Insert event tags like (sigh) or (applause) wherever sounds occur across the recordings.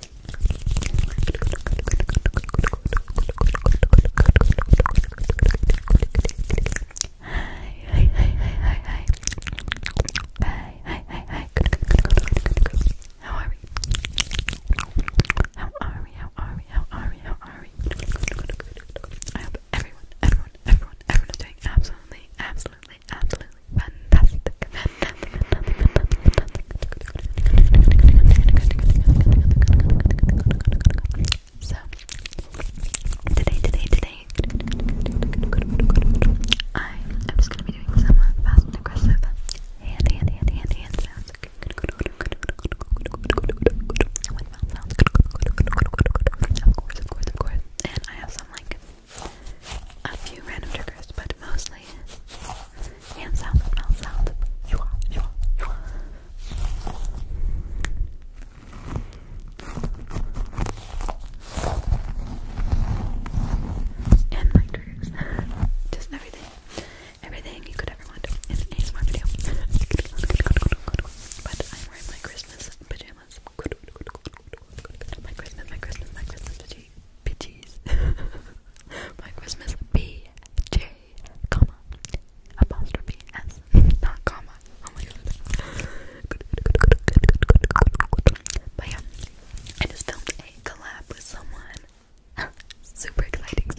hi, hi, hi, hi. Hi, hi, hi, hi. How How are we? How are we? How are we? How are we? I hope everyone, everyone, everyone, everyone is doing absolutely, absolutely, absolutely fantastic. So today, today, today, I am just gonna be doing some fast uh, and aggressive hand, uh, hand, hand, hand, sounds. With And I have some like a few random triggers, but mostly hand sounds, mouth sounds. You are, you are, you are. And my triggers. Just everything. Everything you could ever want in an ASMR video. But I'm wearing my Christmas pajamas. My Christmas, my Christmas, my Christmas pajamas pity, (laughs) My Christmas B J comma apostrophe S not comma. Oh my god. But yeah, I just filmed a collab with someone. (laughs) super exciting,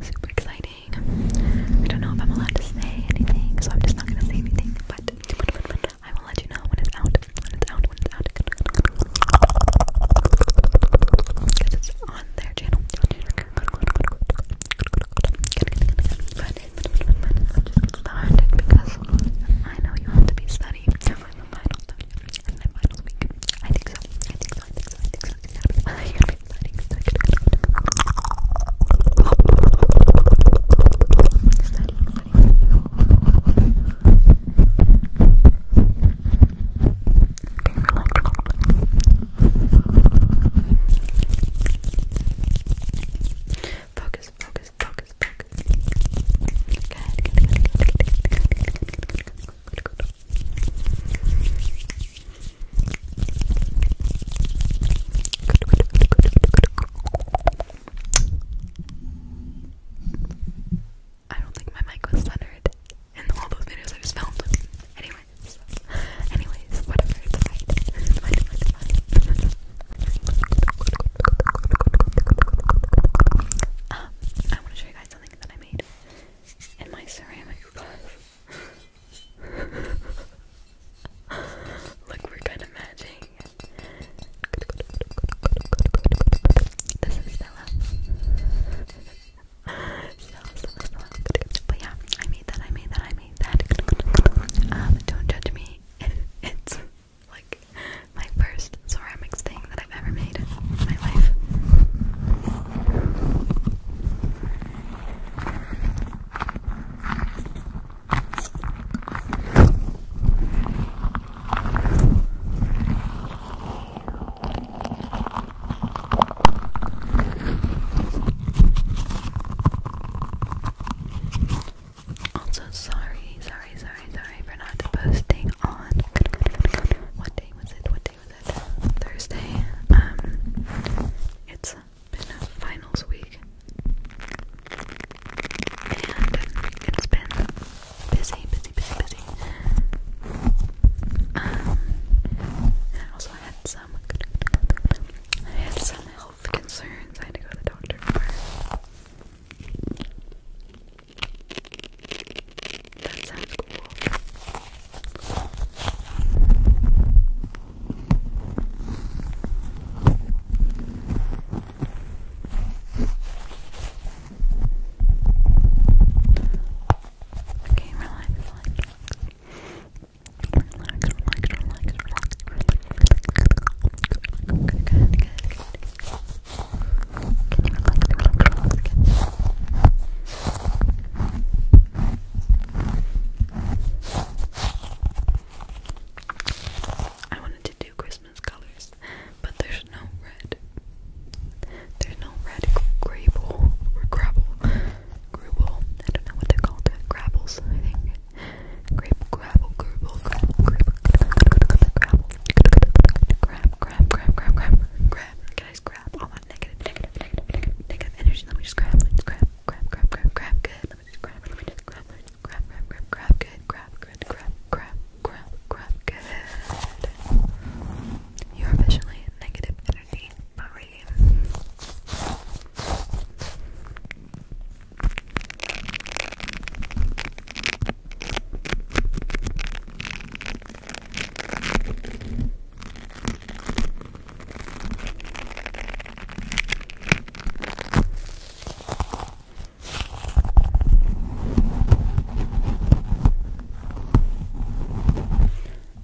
super exciting. I don't know if I'm allowed to say anything, so I'm just not gonna say anything. But I will let you know when it's out out, when it's out, when it's out. it's on their channel. it's hard because I know you have to be studying. I'm a final subject. I'm final week. I think so. I think so. I think so. I think so. I think so. Focus, focus, focus, focus. Good, good, good, good, good, good, good, good. Good, good, good, good, good, good. I don't think my mic was centered and all those videos I just filmed. Anyway, anyways, whatever. um, I want to show you guys something that I made in my ceramic class. (laughs) Look, we're kind of matching. This is Stella. Stella, Stella, Stella. But yeah, I made that, I made that, I made that. Um, don't judge me. It's like my first ceramics thing that I've ever made in my life. Also, sorry, sorry, sorry, sorry for not posting on what day was it? What day was it? Thursday. Um, it's been finals week and it's been busy, busy, busy, busy. Um, also I had some, had some health concerns. I had to go to the doctor for. That sounds cool. Okay, relax, relax, relax. Relax, relax, relax, you I wanted to do Christmas colors, but there's no red. There's no red grable or grabble. Grubble. I don't know what they're called. grabbles, I think. Grape grabble grubble grab grab grab grab grab grab grab grab grab all that negative negative negative negative negative energy. Let me just grab grab grab grab grab grab good. Let me just grab let me just grab grab grab grab grab good grab good grab grab grab, grab, good. You're officially negative energy free.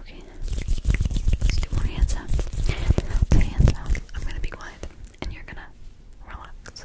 Okay, let more hands up. The hands up. I'm gonna be quiet, and you're gonna relax.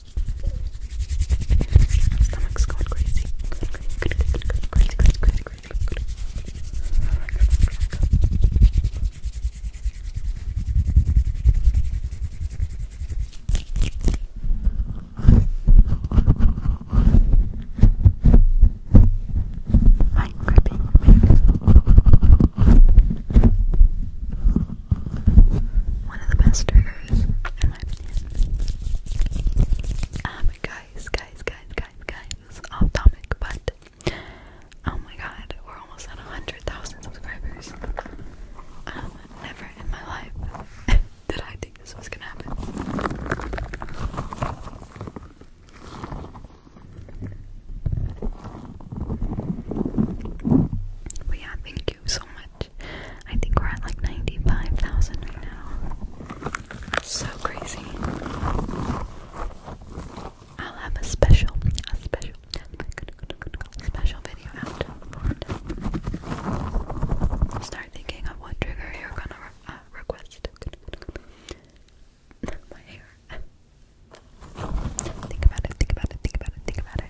My stomach's going crazy. Crazy, crazy, crazy, crazy, crazy. Fine gripping. Fine gripping. One of the best um, guys, guys, guys, guys, guys, off but oh my god, we're almost at 100,000 subscribers. Um, never in my life (laughs) did I think this was gonna happen. But yeah, thank you so much. I think we're at like 95,000 right now. So crazy. I'll have a special, a special, special video out Start thinking of what trigger you're gonna uh, request. (laughs) My hair. Think about it, think about it, think about it, think about it.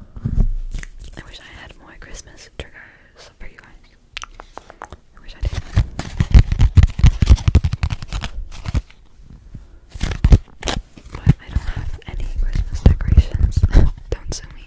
I wish I had more Christmas triggers for you guys. I wish I did. But I don't have any Christmas decorations. (laughs) don't sue me.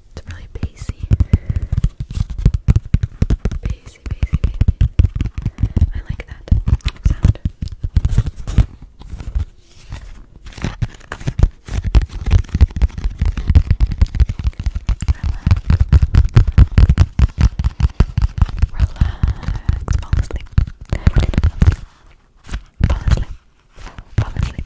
It's really bassy. Bassy, bassy, bassy. I like that sound. Relax. Fall asleep. Fall asleep. Fall asleep.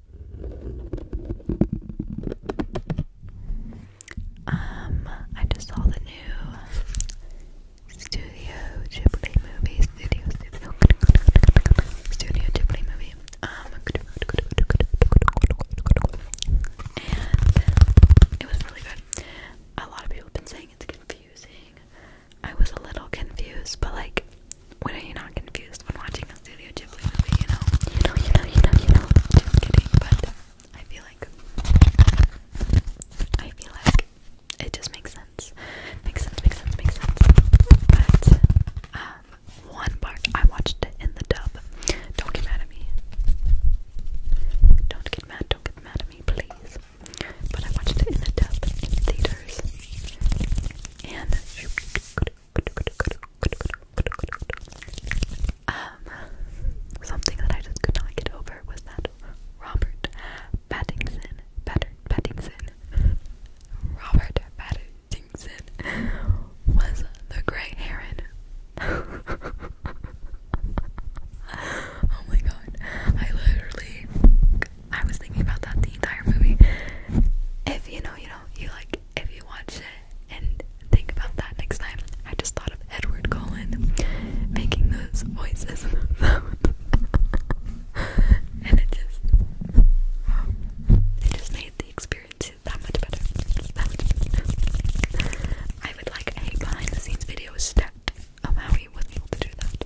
Um, I just saw the new Studio Ghibli movie. Studio Ghibli movie. Um, and it was really good. A lot of people have been saying it's confusing. I was a little confused, but like when are you not confused when watching a Studio Ghibli movie? You know, you know, you know, you know, you know. Just kidding, but I feel like I feel like it just makes sense. Makes sense. Makes sense. Makes sense. But um, one part I watched it in the dub. Don't get mad at me. Don't get mad. Don't get mad at me, please. But I watched it in the dub in theaters, and. Um, something that I just could not get over was that Robert Pattinson, Patter, Pattinson, Robert Pattinson was the gray heron. (laughs) oh my god, I literally, I was thinking about that the entire movie. If you know, you know, you like if you watch it and think about that next time. I just thought of Edward Cullen making those voices (laughs) and it just it just made the experience that much better. I would like a behind the scenes video step of how he was able to do that.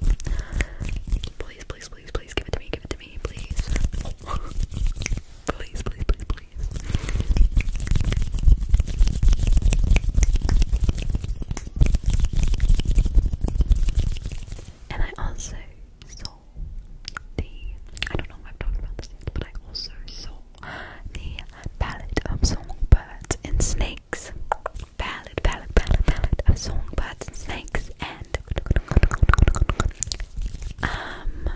Please, please, please, please give it to me, give it me, (laughs) please. please, please, please, And I also saw the I don't know if I've talked about this but I also saw the palette of songbirds and snakes. Palette, palette, palette, palette of songbirds snakes and um,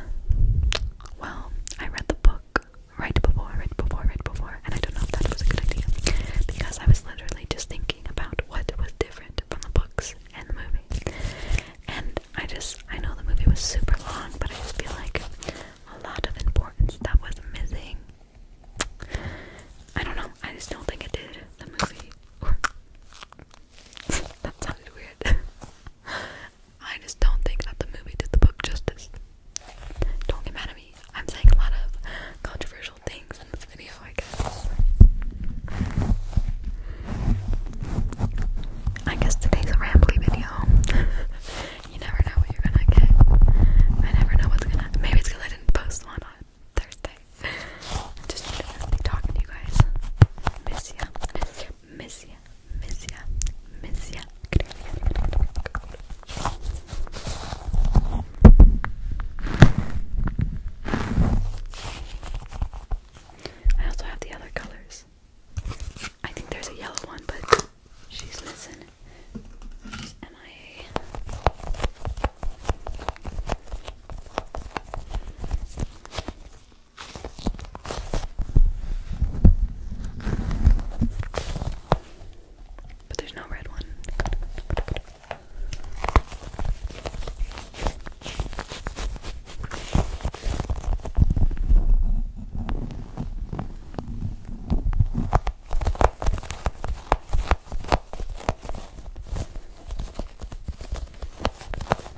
well, I read the book right before, right before, right before, and I don't know if that was a good idea because I was literally just thinking about what was different from the books and the movie. And I just, I know the movie was super long, but I just feel like a lot of importance that was missing. I don't know, I just don't think it did the movie that sounded weird. (laughs) I just don't think that the movie did the book justice. Don't get mad at me. I'm saying a lot of controversial things in this video, I guess. I guess today's a rambly video. (laughs) you never know what you're gonna get. I never know what's gonna. Maybe it's I didn't post one on Thursday i just talking you guys. Miss ya. Miss ya. Miss ya. Miss ya. I also have the other colors. I think there's a yellow one, but she's missing. She's MIA. But there's no red one.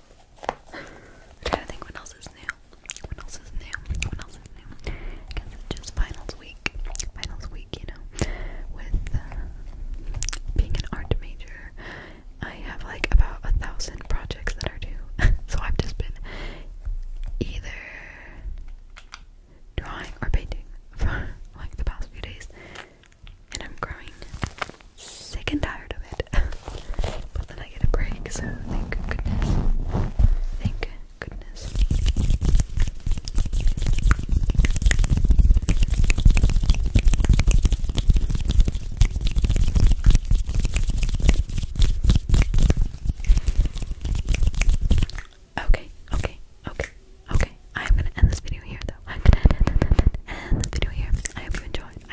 i to think what else is new. What else is new? What else is new? Because it's just finals week. Finals week, you know. With uh, being an art major, I have like about a thousand projects that are due. (laughs) so I've just been either drawing or painting (laughs) for like the past few days and I'm growing sick and tired of it. (laughs) but then I get a break, so thank goodness. Thank goodness. Okay, okay, okay, okay. I'm gonna end this video here though. I'm gonna end, this video here. I hope you enjoyed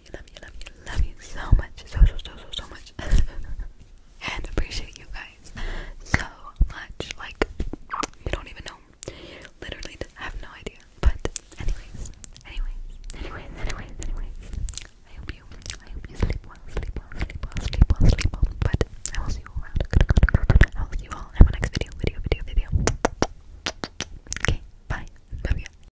love you, love you, love you, love you so much, so so so so so much, (laughs) and appreciate you guys so much. Like you don't even know, literally have no idea. But anyways, anyways, anyways, anyways, anyways. I hope you, I hope you sleep well, sleep well, sleep well, sleep well, sleep well. But I will see you all around. I will see you all in my next video, video, video, video. Okay, bye. Love you.